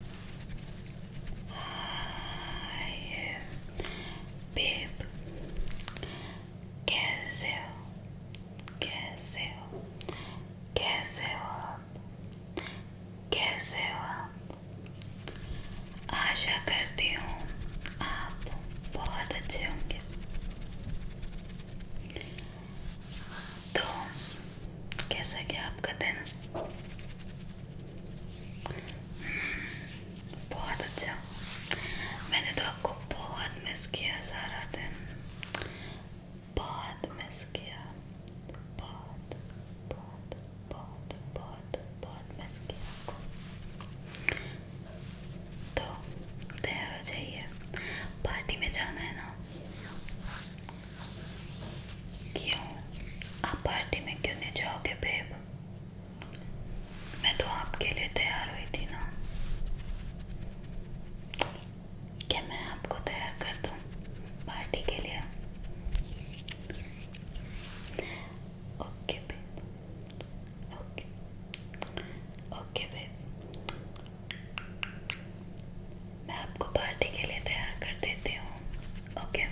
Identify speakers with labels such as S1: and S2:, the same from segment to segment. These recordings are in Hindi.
S1: I bebo gazel, gazel, gazel up, gazel up. आशा करती हूँ आप बहुत अच्छे होंगे तो कैसा गया आपका दिन बहुत अच्छा मैंने तो आपको बहुत मिस किया सारा दिन बहुत मिस किया बहुत बहुत बहुत बहुत बहुत मिस किया आपको तो तैयार हो जाइए पार्टी में जाना है ना क्यों आप पार्टी में क्यों नहीं जाओगे बेब मैं तो आपके लिए तैयार हुई थी ना क्या मैं आपको तैयार कर दूं पार्टी के लिए okay babe okay okay babe मैं आपको पार्टी के लिए तैयार कर देती हूँ ओके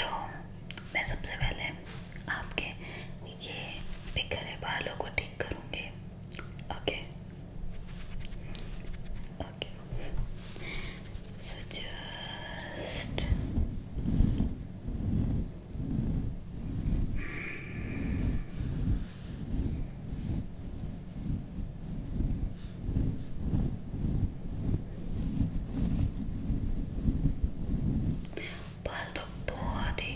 S1: तो मैं सबसे पहले आपके ये बिखरे बालों को ठीक करूँगी ओके ओके सो जस्ट बाल तो बहुत ही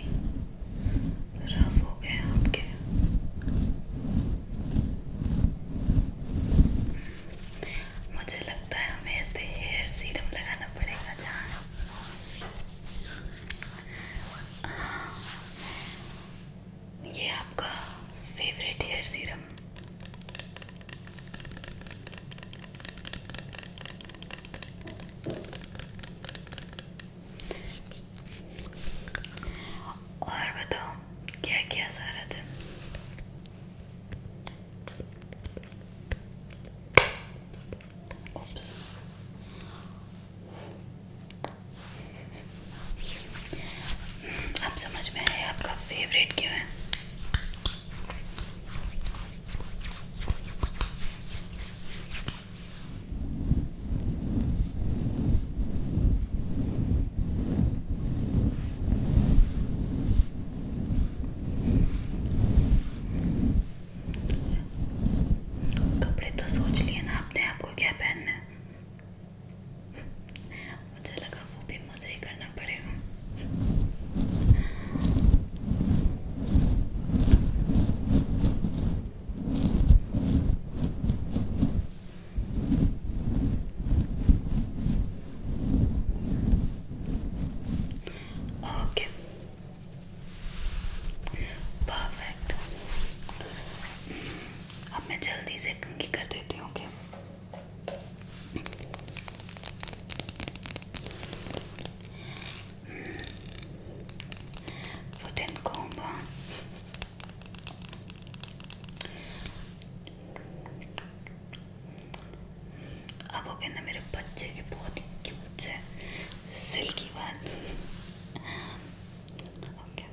S1: रफ हो गए आपके मुझे लगता है हमें इस पे हेयर सीरम लगाना पड़ेगा जहाँ ये आपका फेवरेट हेयर सीरम और बताओ क्या क्या सारा दिन Oops. आप समझ में आए आपका फेवरेट क्यों है कपड़े तो सोच लिए ना आपने आपको क्या पहनना है मुझे लगा वो भी मुझे ही करना पड़ेगा ओके परफेक्ट अब मैं जल्दी से कंघी कर देती हूँ ओके वुडन कॉम्ब अब हो गए ना मेरे बच्चे के बहुत ही क्यूट से सिल्की बाल ओके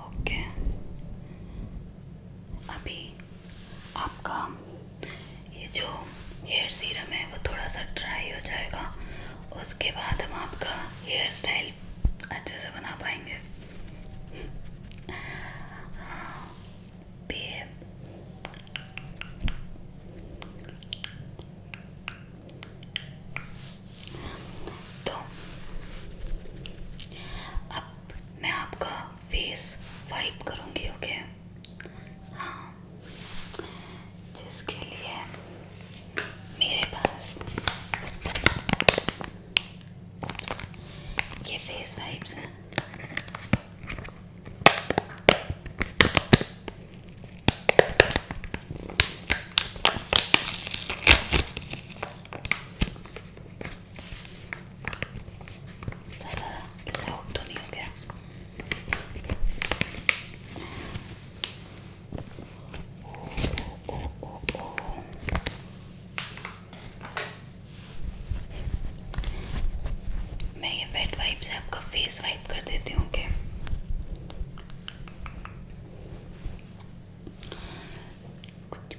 S1: ओके okay. अभी आपका ये जो हेयर सीरम है वो थोड़ा सा ड्राई हो जाएगा उसके बाद हम आपका हेयर स्टाइल अच्छे से बना पाएंगे तो अब आप मैं आपका फेस वाइप करूँगी ओके हाँ जिसके लिए मेरे पास ये फेस वाइप्स हैं ज़्यादा लाउड तो नहीं हो गया ओ, ओ, ओ, ओ, ओ। मैं ये वेट वाइप से आपका फेस वाइप कर देती हूँ ओके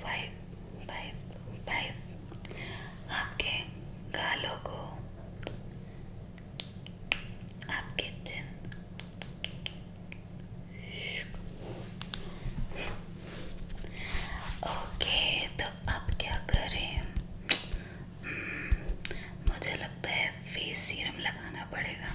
S1: फाइव फाइव फाइव आपके गालों को आपके चिन ओके तो अब क्या करें हम्म, मुझे लगता है फेस सीरम लगाना पड़ेगा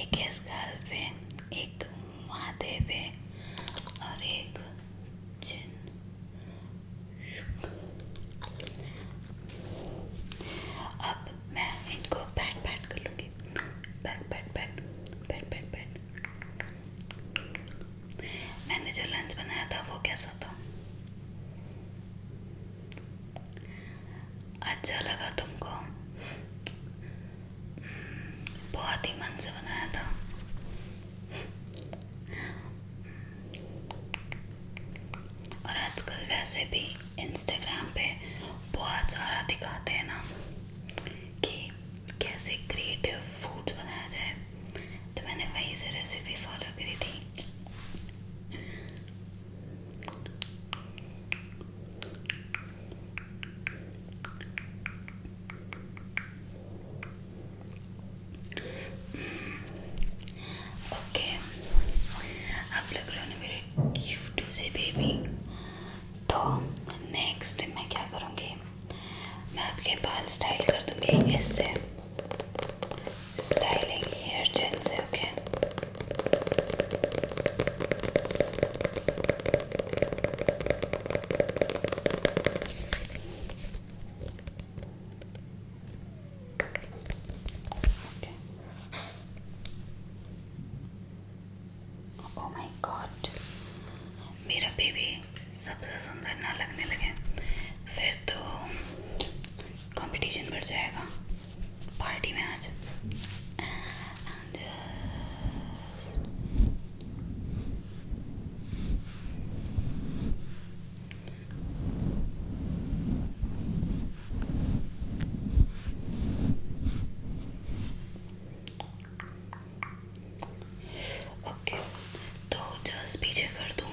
S1: एक एस गाल्व है एक महादेव है और एक जिन अब मैं इनको बैट बैट कर लूँगी बैट बैट बैट बैट बैट बैट मैंने जो लंच बनाया था वो कैसा था अच्छा लगा तुमको बहुत ही मन से बनाया था और आजकल वैसे भी इंस्टाग्राम पे बहुत सारा दिखाते हैं ना कि कैसे क्रिएटिव फूड्स बनाया जाए तो मैंने वहीं से रेसिपी फॉलो करी थी ओके आप लग रहे हो मेरे क्यूट से बेबी तो नेक्स्ट मैं क्या करूँगी मैं आपके बाल स्टाइल कर दूँगी इससे styling here, gents, okay? Okay. Oh my God, मेरा बेबी सबसे सुंदर ना लगने लगे फिर तो कंपटीशन बढ़ जाएगा party matches and just okay okay, तो जस्ट पीछे कर दूँ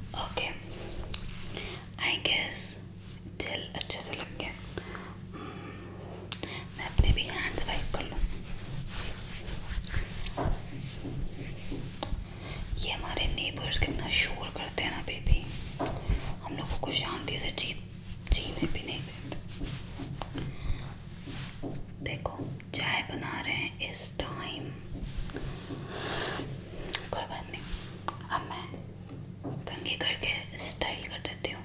S1: ओके आई गेस जेल अच्छे से लग गया हम्म, मैं अपने भी हैंड्स वाइप कर लूँ ये हमारे नेबर्स कितना शोर करते हैं ना बेबी हम लोगों को शांति से जी जीने भी नहीं देते देखो चाय बना रहे हैं इस टाइम कोई बात नहीं अब मैं कंघी करके स्टाइल कर देती हूँ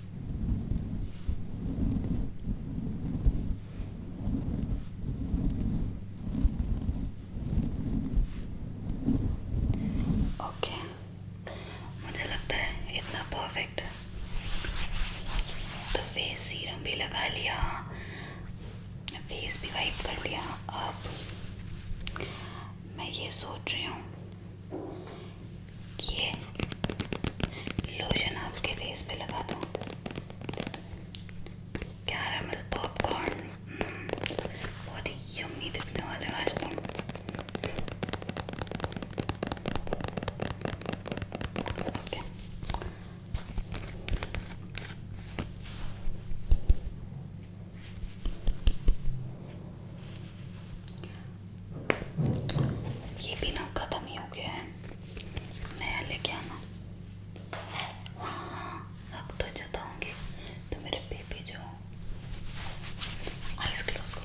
S1: ओके okay. मुझे लगता है इतना परफेक्ट है तो फेस सीरम भी लगा लिया फेस भी वाइप कर लिया अब मैं ये सोच रही हूँ ये लोशन आपके फेस पे लगा दूँ कैरामल पॉपकॉर्न बहुत ही यम्मी दिखने वाले आज तुम तो। okay. ये भी ना खत्म ही हो गया है नया लेके आना हाँ हाँ अब तो जताऊंगी तो मेरे बेबी जो आइस क्लोज करो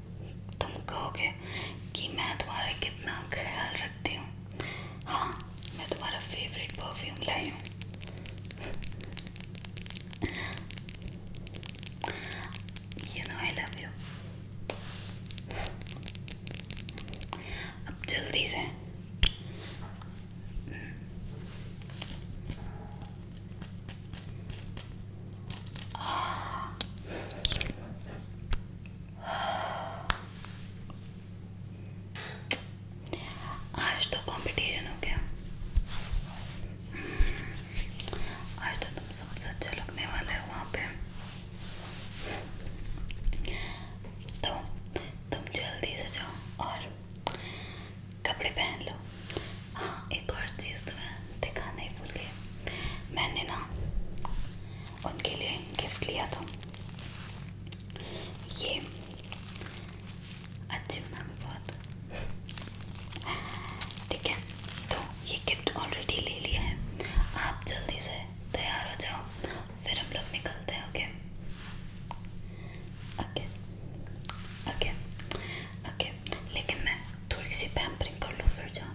S1: तुम कहोगे कि मैं तुम्हारा कितना ख्याल रखती हूँ हाँ मैं तुम्हारा फेवरेट परफ्यूम लाई हूँ you know I love you अब जल्दी से आज तो कंपटीशन हो गया आज तो तुम सबसे अच्छे लगने वाले हो वहाँ पे तो तुम जल्दी से जाओ और कपड़े पहन लो हाँ एक और चीज़ तुम्हें दिखाना ही भूल गए मैंने ना उनके लिए गिफ्ट लिया था ये अच्छी बना बहुत ठीक है तो ये गिफ्ट ऑलरेडी ले लिया है आप जल्दी से तैयार हो जाओ फिर हम लोग निकलते हैं ओके ओके ओके ओके लेकिन मैं थोड़ी सी पैम्परिंग कर लूँ फिर जाना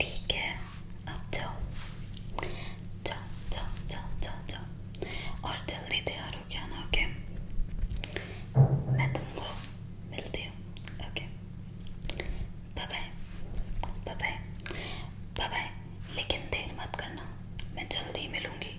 S1: ठीक जाओ जाओ जाओ और जल्दी तैयार हो गया मैं तुमको मिलती हूँ लेकिन देर मत करना मैं जल्दी मिलूँगी